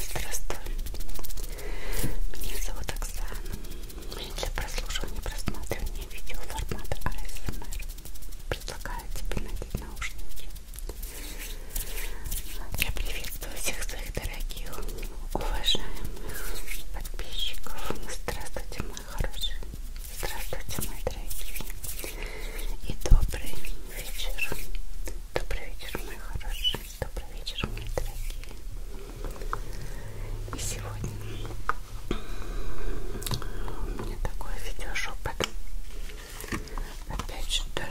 Здравствуй, меня зовут Оксана. Для прослушивания и просматривания видео формата ASMR предлагаю тебе надеть наушники. Я приветствую всех своих дорогих, уважаемых подписчиков. Здравствуйте, мои хорошие. Здравствуйте, мои дорогие. И добрый вечер. Добрый вечер, мои хорошие. Добрый вечер, мои дорогие. И сегодня у меня такой видеошепот. Опять что-то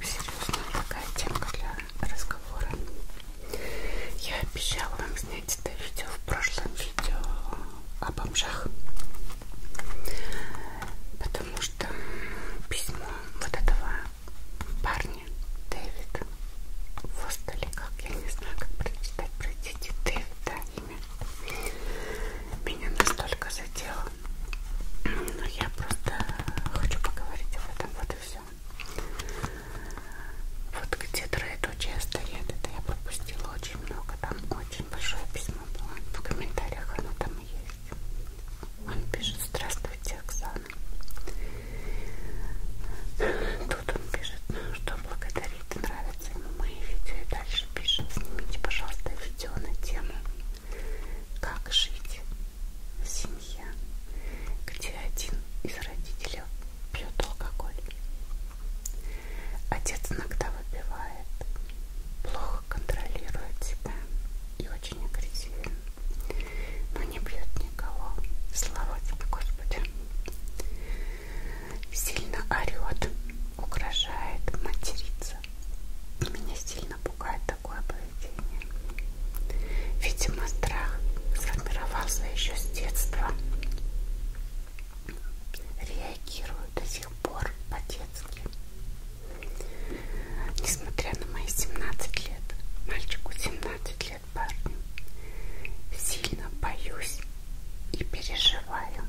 серьезная такая темка для разговора. Я обещала вам снять это видео в прошлом видео о бомжах. Потому что письмо вот этого парня Дэвид Фостели, как я не знаю, как прочитать, прочтите Дэвид, да, имя. Меня настолько задело. Но я просто хочу поговорить об этом, вот и все. Вот где троеточие стоит, это я пропустила очень много там очень большое письмо было. В комментариях оно там и есть. Он пишет, здравствуйте, Оксана. Тут он пишет, «Ну, что благодарит, нравятся ему мои видео. И дальше пишет, снимите, пожалуйста, видео на тему «Как жить в семье, где один из родителей пьет алкоголь». Отец иногда выпивает, плохо контролирует себя и очень агрессивен, но не бьет никого. Слава тебе, Господи. Сильно орет, угрожает, матерится. Меня сильно пугает такое поведение. Видимо, страх сформировался еще с детства реагирую до сих пор по-детски. Несмотря на мои 17 лет, мальчику 17 лет парню, сильно боюсь и переживаю.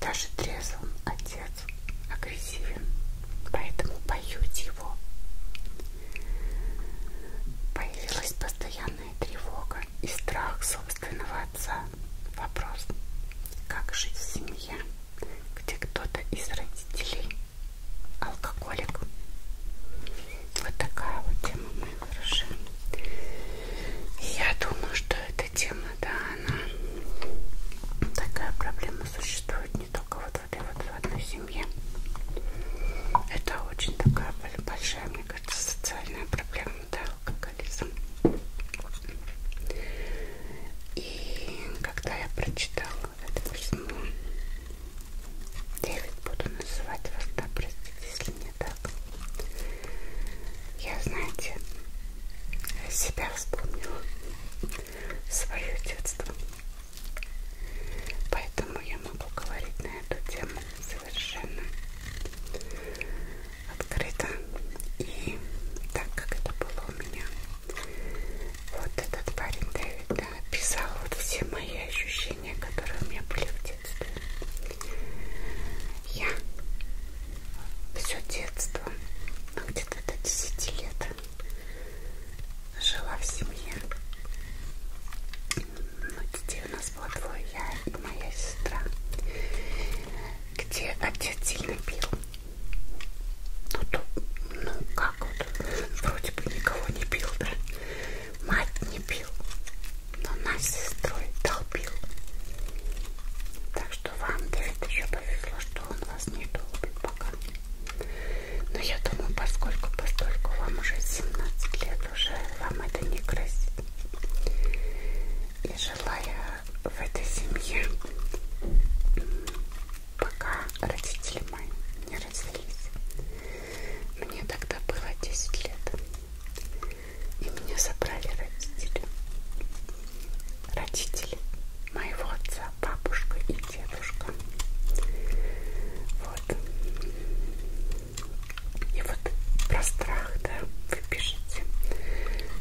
Даже трезвым отец агрессивен, поэтому боюсь его. Появилась постоянная тревога тревога и страх собственного отца. Вопрос, как жить в семье, где кто-то из родителей алкоголик. Вот такая вот тема, мои хорошие. И я думаю, что эта тема, да, она такая проблема существует не только вот в этой вот в одной семье. Это очень такая большая, мне кажется, социальная проблема, да как Алиса. И когда я прочитала это письмо, Дэвид буду называть вас, да, простите, если не так. Я, знаете, себя вспомнила, свое детство. Поэтому я могу говорить на эту тему совершенно открыто. И так как это было у меня, вот этот парень Дэвид да, писал вот все мои ощущения, которые у меня были в детстве. Я все детство, ну, где-то до 10 лет, жила в семье. Но ну, детей где у нас было двое, я и моя сестра, где отец сильно пил. Ну, то, ну как вот, вроде бы никого не пил, да? Мать не пил, но нас с сестрой толпил. Так что вам, Дэвид, еще повезло, что он вас не долбит пока. Но я думаю, поскольку, поскольку вам уже 17 лет, уже вам это не грозит. И жила я в этой семье, пока родители мои не развелись. Мне тогда было 10 лет. И меня забрали родители. Родители моего отца, бабушка и дедушка. Вот. И вот про страх, да, вы пишете,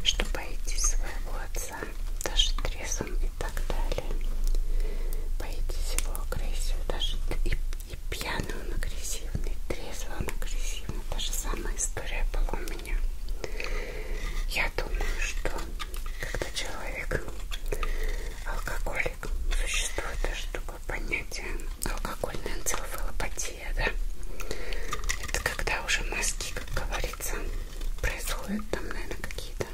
что боитесь своего отца, даже трезвым и так далее. Боитесь его агрессию, даже и, и пьяный он агрессивный, и трезвый он агрессивный. Та же самая история была у меня. Я думаю, что когда человек алкоголик, существует даже такое понятие алкогольная энцефалопатия, да? Это когда уже мозги, как говорится, происходят там, наверное, какие-то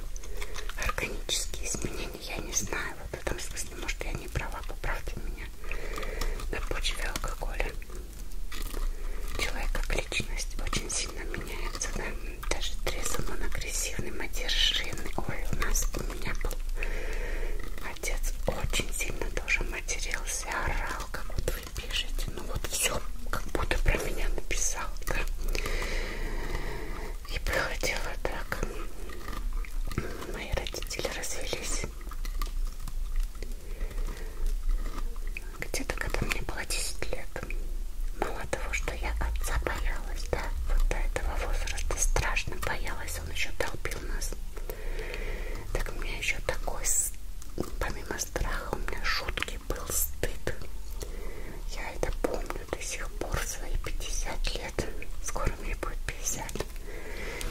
органические изменения. Я не знаю, вот в этом смысле, может, я не права, поправьте меня на почве алкоголя. Человек как личность очень сильно меняется, да? даже трезвым он агрессивным, одержимый. Ой, у нас у меня был Отец очень сильно тоже матерился, орал, как вот вы пишете. Ну вот все, как будто про меня написал, да. И проходило так. Мои родители развелись. Где-то, когда мне было 10 лет. Мало того, что я отца боялась, да, вот до этого возраста страшно боялась есть он еще толпил нас. Так у меня еще такой, помимо страха, у меня жуткий был стыд. Я это помню до сих пор, свои 50 лет. Скоро мне будет 50.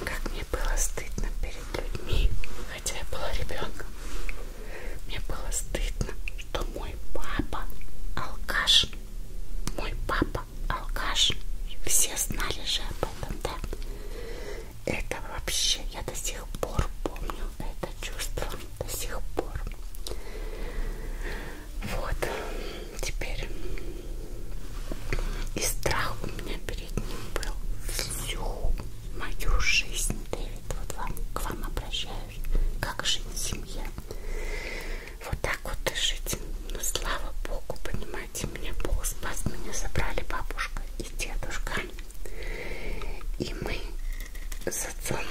Как мне было стыдно перед людьми, хотя я была ребенком. Мне было стыдно, что мой папа алкаш. Мой папа алкаш. Все знали же об этом, да? Это вообще, я до сих пор помню это чувство, до сих пор. Вот, теперь и страх у меня перед ним был всю мою жизнь, Дэвид, вот вам, к вам обращаюсь, как жить в семье. Вот так вот и жить. Но ну, слава богу, понимаете, меня Бог спас, меня забрали бабушка и дедушка. И мы с отцом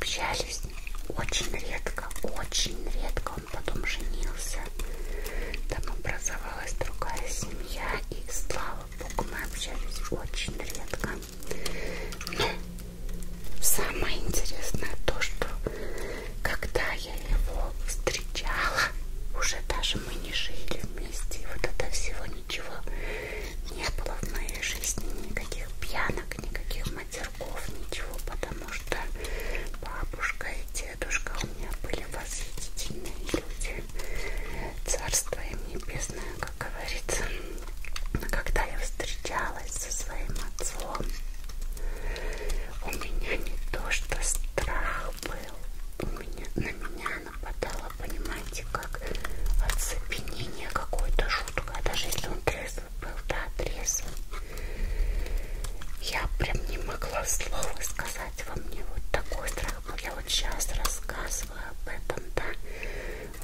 общались очень редко, очень редко. Он потом женился. Там образовалась другая семья. И слава богу, мы общались очень редко. Но самое интересное то, что когда я его встречала, уже даже мы не жили вместе, и вот это всего ничего не было в моей жизни, никаких пьянок, никаких матерков, ничего, потому что бабушка и дедушка у меня были восхитительные люди, царство им небесное, как говорится. Но когда я встречалась со своим отцом, того, у меня не то, что страх был, у меня, на меня нападало, понимаете, как оцепенение какое-то жуткое, даже если он трезвый был, да, трезвый. Я прям не могла слова сказать во мне, вот такой страх был. Я вот сейчас рассказываю об этом, да,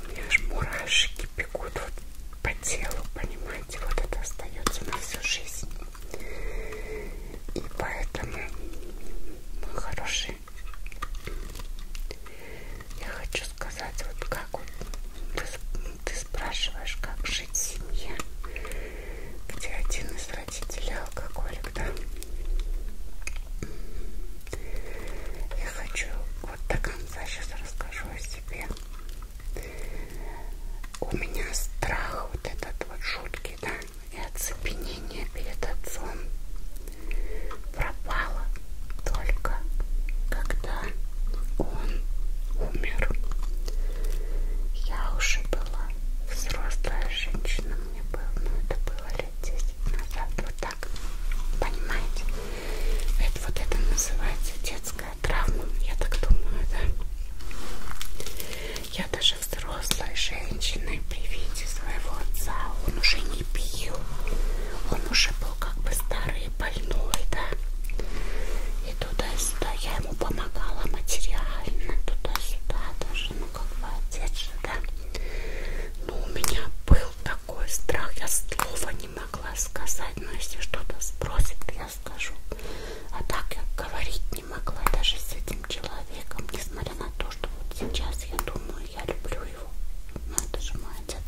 у меня аж мурашки бегут вот по телу, понимаете, вот это остается на всю жизнь. И поэтому, мой хороший, я хочу сказать, вот как вот ты, ты спрашиваешь, как жить в семье, где один из родителей алкоголик, да? Я хочу вот до конца сейчас расскажу о себе у меня страх вот этот вот жуткий, да, и оцепенение перед отцом пропало только когда он умер. Я уже была взрослая женщина, мне было, ну это было лет 10 назад, вот так, понимаете? Это вот это называется детская детская травма, я так думаю, да. Я даже взрослой женщины при виде своего отца, он уже не пил, он уже был как бы старый и больной, да. И туда-сюда я ему помогала материально, туда-сюда даже, ну как бы отец же, да. Но ну, у меня был такой страх, я слова не могла сказать, но если что-то спросит, честно скажу. А так я говорить не могла даже с этим человеком, несмотря на то, что вот сейчас я думаю, я люблю его. Ну это же молодец.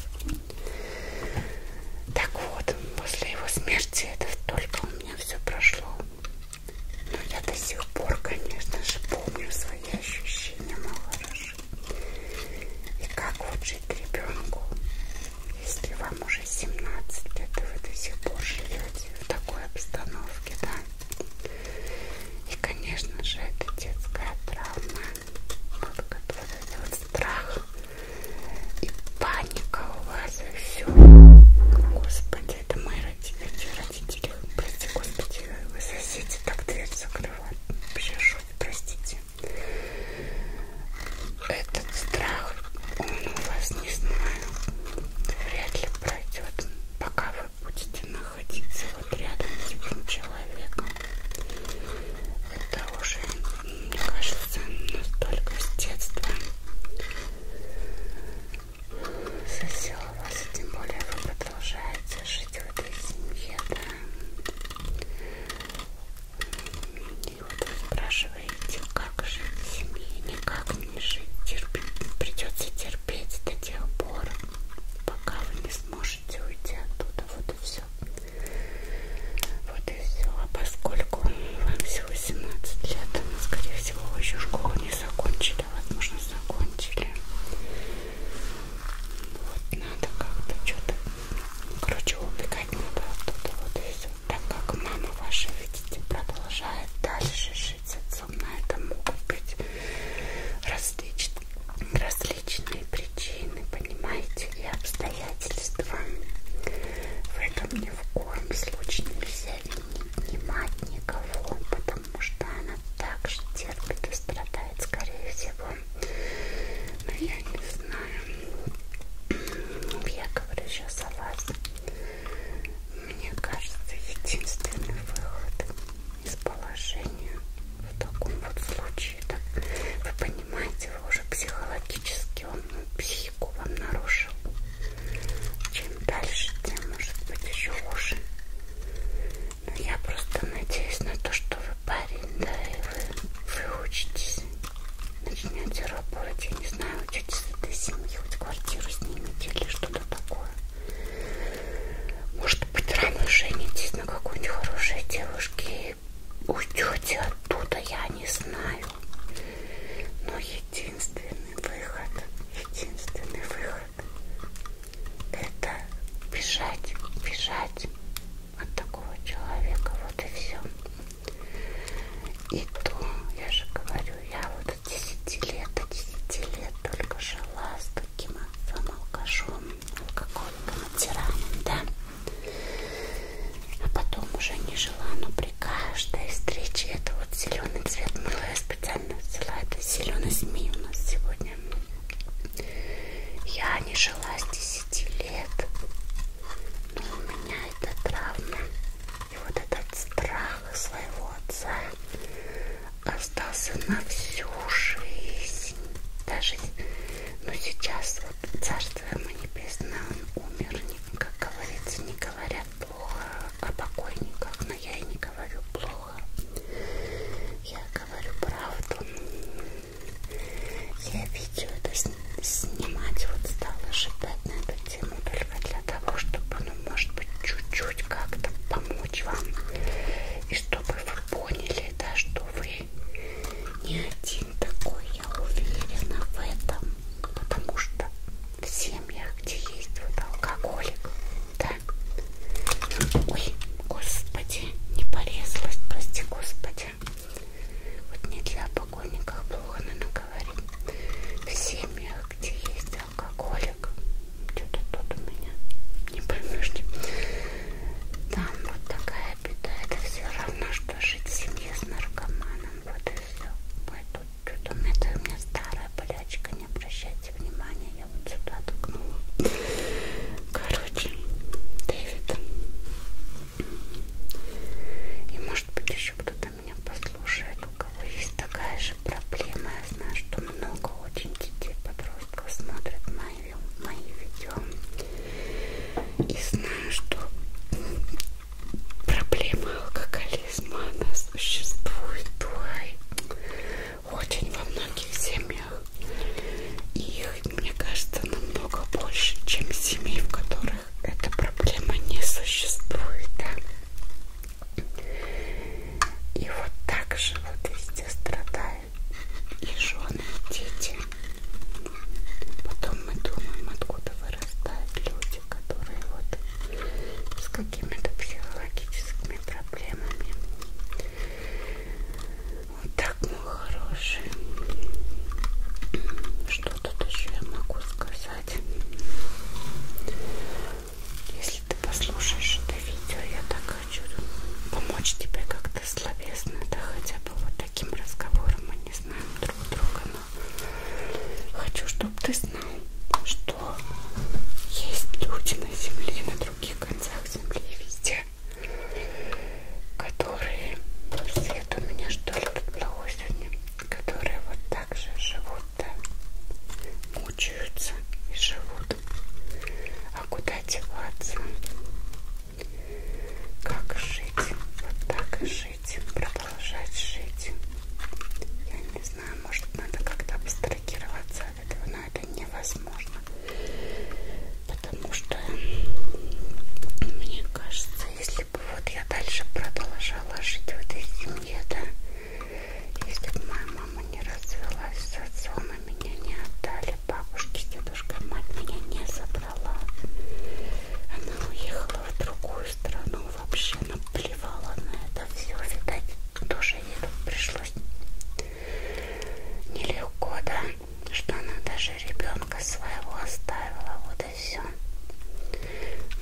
Так вот, после его смерти это только у меня все прошло. Но я до сих пор, конечно же, помню свои ощущения, мало хорошо. И как вот жить ребенку, если вам уже 17 лет, и вы до сих пор живете в такой обстановке, да? И, конечно же, это детская травма, вот, вот этот вот страх и паника у вас, и все. Господи, это мои родители, родители, прости, господи, вы соседи так дверь закрывают. Вообще шут, простите этот страх он у вас не знаю вряд ли пройдет пока вы будете находиться вот рядом с этим человеком это уже мне кажется настолько с детства засел вас и тем более вы продолжаете жить в этой семье да и вот вы спрашиваете, как жить в семье, никак не жить, терпеть, придется терпеть до тех пор, пока вы не сможете уйти оттуда, вот и все. Вот и все. А поскольку вам всего 17 лет, скорее всего, вы еще школу не закончили, возможно, закончили. Вот надо как-то что-то, короче, убегать надо оттуда, вот и все так как мама ваша, видите, продолжает дальше жить с отцом, на это могут быть различ... различные причины, понимаете, и обстоятельства. В этом ни в коем случае нельзя винить ни мать, никого, потому что она также терпит и страдает, скорее всего. Но я не знаю, я говорю сейчас о вас. Мне кажется, единственный выход из положения в таком вот случае, так, вы понимаете, вы уже психологически, он ну, психику вам нарушил. Чем дальше, тем может быть еще хуже. Но я просто надеюсь на то, что вы парень, да, и вы выучитесь начинается работать, я не знаю, учитесь с этой семьи, хоть квартиру снимите или что-то такое. Может быть, рано женитесь на какой-нибудь хорошей девушке и уйдете оттуда, я не знаю. Но единственный выход, единственный выход это бежать, бежать, от такого человека, вот и все. И то, я же говорю, я вот от 10 лет, от 10 лет только жила с таким отцом алкашом, алкоголиком, тираном, да. А потом уже не жила, но при каждой встрече это вот зеленый цвет мыла, я специально взяла, это зеленый змей у нас сегодня. Я не жила с 10 лет, но у меня эта травма и вот этот страх своего отца остался на всю жизнь. Даже, ну сейчас вот царство ему небесное, он умер, как говорится, не говорят плохо о покойниках, но я и не говорю плохо. Я говорю правду. Я видео это снимать вот стала шептать на эту тему только для того, чтобы, ну, может быть, чуть-чуть как-то помочь вам. И чтобы вы поняли, да, что вы не один такой, я уверена в этом. Потому что в семьях, где есть вот алкоголик, да. Ой, господи, не порезалась, прости, господи месте. Вот не для покойников плохо, но говорим. В семьях, где есть алкоголик, что-то тут у меня не поймешь. Там вот такая беда. Это все равно, что жить в семье с наркоманом. Вот и все. Поэтому что-то у меня, это у меня старая болячка. Не обращайте внимания. Я вот сюда ткнула. Короче, Дэвид. И может быть еще кто-то меня послушает, у кого есть такая же проблема. Я знаю, что много очень детей, подростков смотрят мои, мои видео. И знаю, что проблема алкоголизма, она существует ой, очень во многих семьях. И их мне кажется, намного больше, чем семей, в которых эта проблема не существует. Да? И вот так же вот везде страдают и жены, и дети. Потом мы думаем, откуда вырастают люди, которые вот с какими-то психологическими проблемами. Вот так, мой хороший. Что тут еще я могу сказать? Если ты послушаешь это видео, я так хочу помочь тебе как-то словесно, да хотя бы вот таким разговором мы не знаем друг друга, но хочу, чтобы ты знал, что есть люди на земле, на других концах земли, везде, которые свет у меня что ли тут плохой сегодня, которые вот так же живут, да, мучаются и живут. А куда деваться? Как жить? Вот так и жить, продолжать жить. Я не знаю, может надо как-то абстрагироваться от этого, но это невозможно потому что мне кажется, если бы вот я дальше продолжала жить в этой семье, да, если бы моя мама не развелась с отцом, а меня не отдали бабушке, дедушка, мать меня не забрала, она уехала в другую страну, вообще наплевала на это все, видать, тоже ей пришлось нелегко, да что она даже ребенка своего оставила. Вот и все.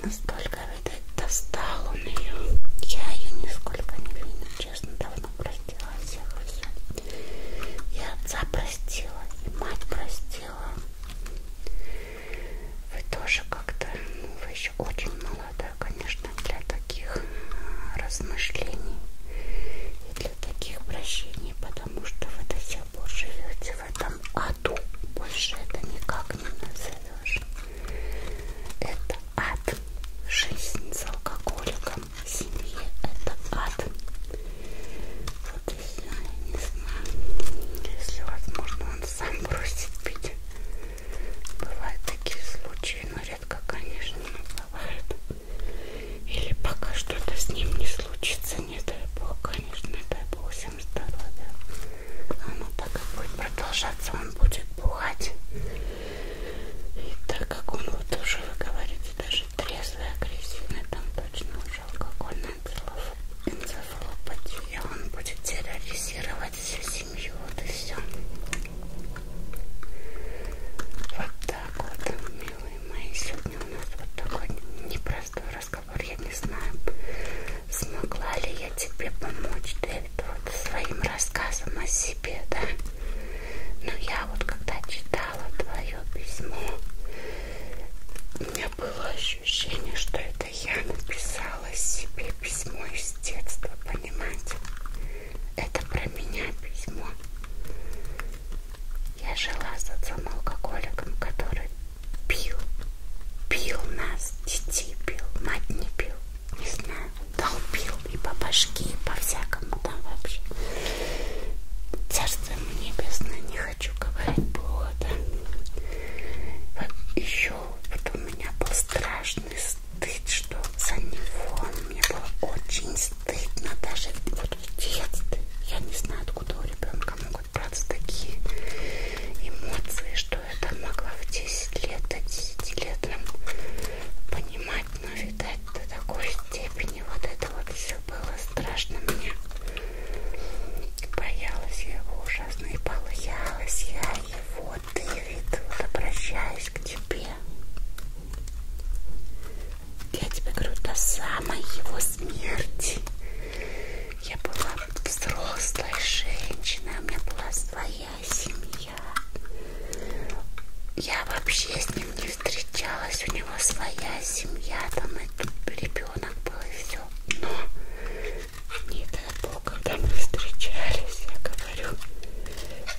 Настолько, видать, достал он ее. Я ее нисколько не виню, честно, давно простила всех и все. И отца простила, и мать простила. Вы тоже как-то, ну, вы еще очень молодая, конечно, для таких а, размышлений и для таких прощений, потому потому что вы до сих пор живете в этом аду. Больше это никак не назовешь. Это ад. Жизнь с алкоголиком в семье это ад. Вот и все, я не знаю. Если возможно, он сам бросит пить. Бывают такие случаи, но редко, конечно, бывает. Или пока что-то с ним не случится, не дай бог, конечно, не дай бог всем здоровья. Оно пока будет продолжаться, он будет бухать. И так как он вот уже, вы говорите, даже трезвый, агрессивный, там точно уже алкогольная энцефалопатия, он будет терроризировать всю семью, вот и все. Вот так вот, милые мои, сегодня у нас вот такой непростой разговор. Я не знаю, смогла ли я тебе помочь, Дэвид, вот своим рассказом о себе, да? Но я вот когда читала твое письмо, у меня было ощущение, что это я написала себе письмо из детства, понимаете? Это про меня письмо. Я жила с отцом-алкоголиком, который пил, пил нас, детей пил, мать не пил, не знаю, долбил и по башке, и по всякому там вообще. Царство ему небесное, не хочу говорить плохо, да? Вот еще вот у меня был страшный стыд, что за него мне было очень стыдно даже вот пиздец ты. Я не знаю, откуда у ребенка могут браться такие эмоции, что это могла в 10 лет, до 10 лет понимать, но, видать, до такой степени вот это вот все было страшно мне. Боялась я его ужасно и боялась я его, Дэвид, вот обращаюсь к тебе. Я тебе говорю, до самой его смерти я была взрослой женщиной, у меня была своя семья. Я вообще с ним не встречалась, у него своя семья, там и ребенок был и все. Но не дай бог, когда мы встречались, я говорю,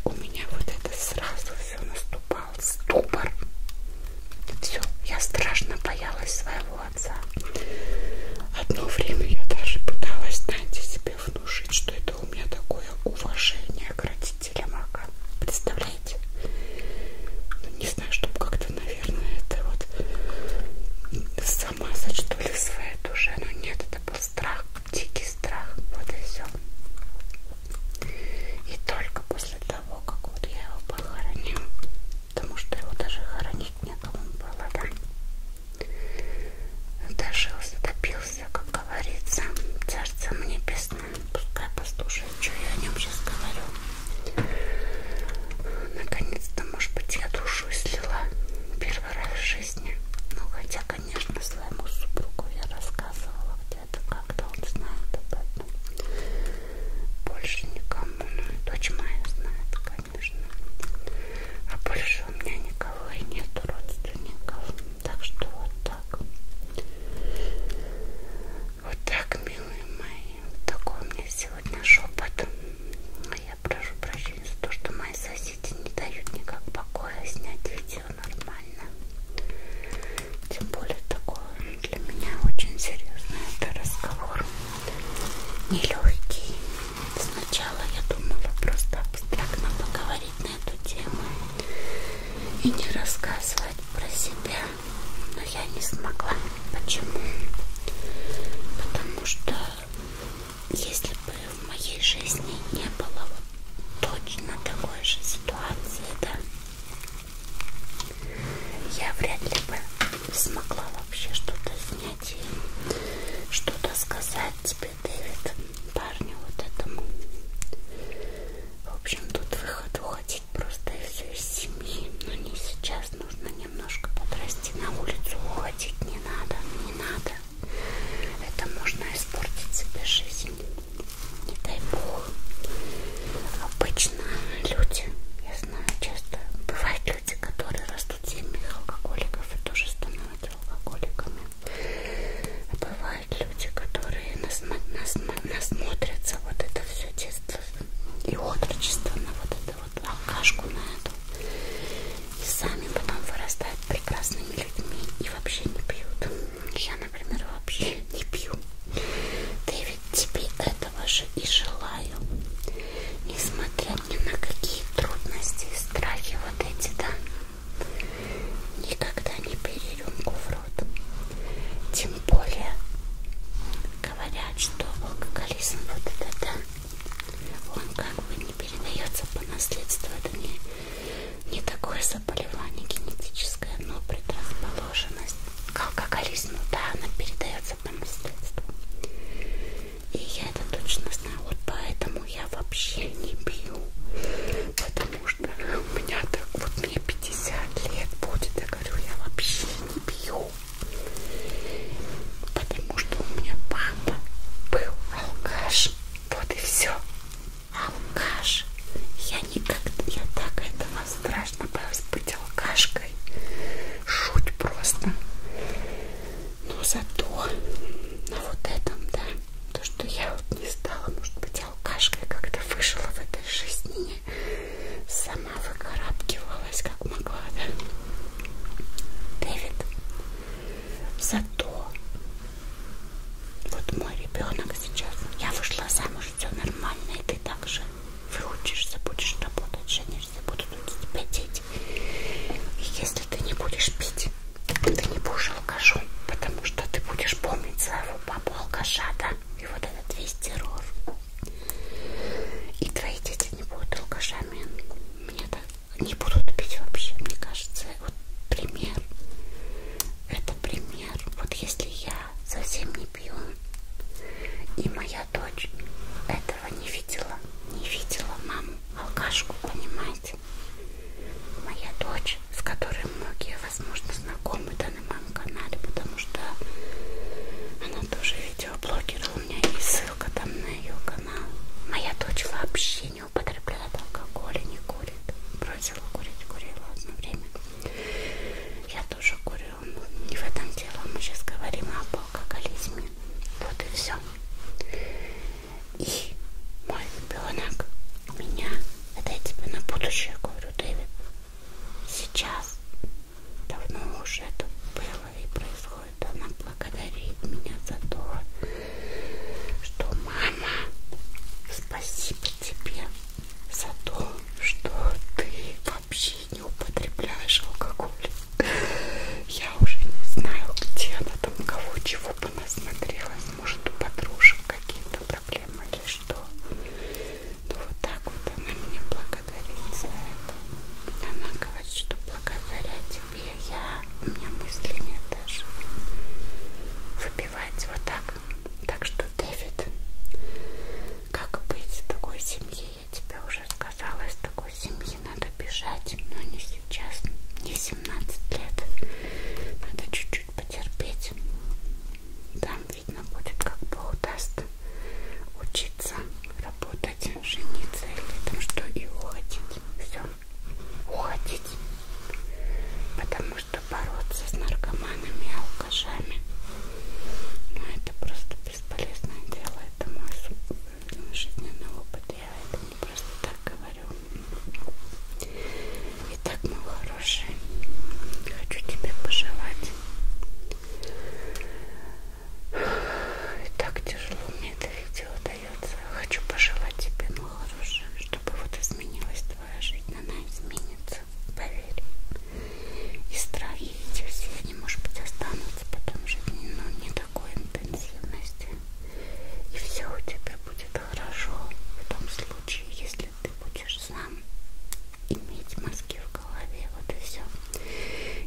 у меня вот это сразу все наступало напал ступор. Все, я страшно боялась своего отца. Одно время я даже пыталась, знаете, себе внушить, что это у меня такое уважение к родителям а Ака. Представляете? Ну, не знаю, чтобы как-то, наверное, это вот самаса, что ли, своя душа. Но ну, нет, это был страх, дикий страх. Вот и все. И только после того, как вот я его похоронила, потому что его даже хоронить некому было, да? Дожился, допился, как говорится, царство небесное. Пускай послушает, что я о нем сейчас говорю. Наконец-то, может быть, я душу слила первый раз в жизни. Ну, хотя, конечно, своему супругу я рассказывала, это как-то он знает об этом. Больше никому, ну и дочь моя знает, конечно. А больше у меня никого и нету родственников. Так что вот так. Вот так, милые мои. Вот такой у меня сегодня шепот. Я прошу прощения за то, что мои соседи не дают никак покоя снять видео нормально. Тем более такой для меня очень серьезный это разговор. Нелегкий. Сначала я думала просто абстрактно поговорить на эту тему и не рассказывать про себя. Но я не смогла. Почему? Потому что если бы в моей жизни не было вот точно такой же ситуации, да, я вряд ли бы смогла вообще что-то снять и что-то сказать тебе, Дэвид, парню вот этому. В общем, тут выход уходить просто и все из семьи. Но не сейчас, нужно немножко подрасти. На улицу уходить не надо, не надо. Это можно испортить себе жизнь не дай бог. Обычно люди, я знаю, часто бывают люди, которые растут в семьях алкоголиков и тоже становятся алкоголиками. А бывают люди, которые нас, нас, нас смотрятся вот это все детство и отрочество на вот эту вот алкашку на эту. И сами потом вырастают прекрасными людьми и вообще не пьют. Я например, вообще не пью. Да ведь тебе этого же и желаю. Несмотря ни на какие трудности и страхи вот эти, да, никогда не бери рюмку в рот. Тем более, говорят, что алкоголизм вот это, да, он как бы не передается по наследству, это не не такое заболевание генетическое, но предрасположенность к алкоголизму, да, она передается по наследству. И я это точно знаю, вот поэтому я вообще не пью, потому что у меня так, вот мне 50 лет будет, я говорю, я вообще не пью, потому что у меня папа был алкаш, вот и все алкаш. Я никогда, я так этого страшно боюсь быть алкашкой. Шуть просто. Но зато на вот этом, да, то, что я вот не стала, может быть, алкашкой, когда вышла в этой жизни, сама выкарабкивалась, как могла, да. Дэвид, зато вот мой ребенок сейчас. Я вышла замуж, все нормально, и ты также выучишься, будешь работать, женишься, будут у тебя дети. И если ты не будешь пить, ты не будешь алкашом, потому что ты будешь помнить своего папу алкаша, да? И вот этот весь террор. И твои дети не будут алкашами. Мне так не будут пить вообще, мне кажется вот пример. Это пример. Вот если я совсем не пью, и моя дочь этого не видела, не видела маму, алкашку, понимаете? Моя дочь, с которой многие, возможно, знакомы да, на моем канале, потому что она тоже видеоблогер, у меня есть ссылка там на ее канал. Моя дочь вообще не употребляет алкоголь, не курит. Бросила курить, курила одно время. Я тоже курю. Не в этом дело. Мы сейчас говорим об алкоголизме. Вот и все. И мой ребенок меня, это я тебе на будущее говорю, Дэвид, сейчас давно уже это было и происходит. Она благодарит меня за то, что мама, спасибо тебе за то, что ты вообще не употребляешь алкоголь. Я уже не знаю, где она там, кого, чего понасмотрелась. Может, у подружек какие-то проблемы или что. Ну, вот так вот она меня благодарит за это. Она говорит, что благодаря тебе я, у меня мысли нет даже. Вы забивать вот так. Так что, Дэвид, как быть в такой семье? Я тебе уже сказала, из такой семьи надо бежать, но не сейчас, не 17 лет. Надо чуть-чуть потерпеть. Там видно будет, как Бог даст учиться, работать, жениться или там что и уходить. Все. Уходить. Потому что бороться с наркоманами и алкашами ну, это просто бесполезное дело, это мой жизненный опыт, я это не просто так говорю. Итак, мой хороший, хочу тебе пожелать. И так тяжело мне это видео, да, остается. Хочу пожелать тебе, мой ну, хороший, чтобы вот изменилась твоя жизнь. Она изменится, поверь. И страхи эти все, они, может быть, останутся потом жить, но не такой интенсивности. И все у тебя будет хорошо в том случае, если ты будешь сам иметь мозги в голове. Вот и все.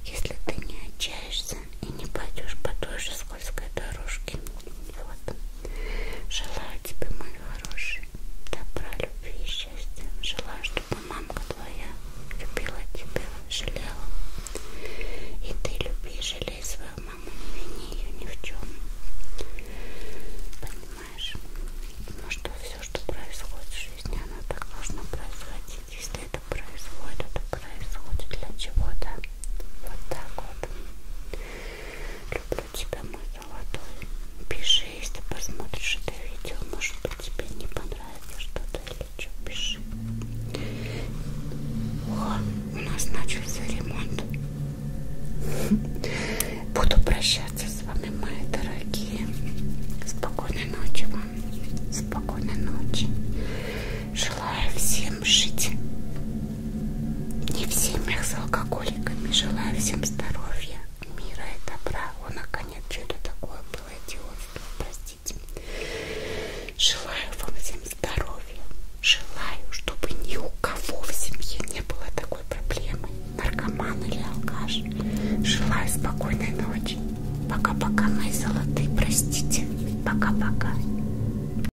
Если ты не отчаешься и не пойдешь по той же скользкой дорожке, вот. Желаю тебе, мои хорошие, добра, любви и счастья. Желаю, чтобы мамка твоя любила тебя, жалела. И ты люби, жалей свою маму, не вини ее ни в чем. Понимаешь? Потому что все, что происходит в жизни, оно так должно происходить. Если это происходит, это происходит для чего-то. Вот так вот. Люблю тебя, мой золотой. Пиши, если посмотришь это видео. Может быть, тебе не понравится что-то или что. Пиши. О, у нас начался ремонт. Буду прощаться с вами, мои дорогие. Спокойной ночи вам. Спокойной ночи. Желаю всем жить не в семьях с алкоголиками. Желаю всем здоровья, мира и добра. О, наконец, что это такое было идиотство, простите. Желаю вам всем здоровья. Желаю, чтобы ни у кого в семье не было такой проблемы. Наркоман или алкаш. Желаю спокойной ночи. Пока-пока, мои золотые, простите. Пока-пока.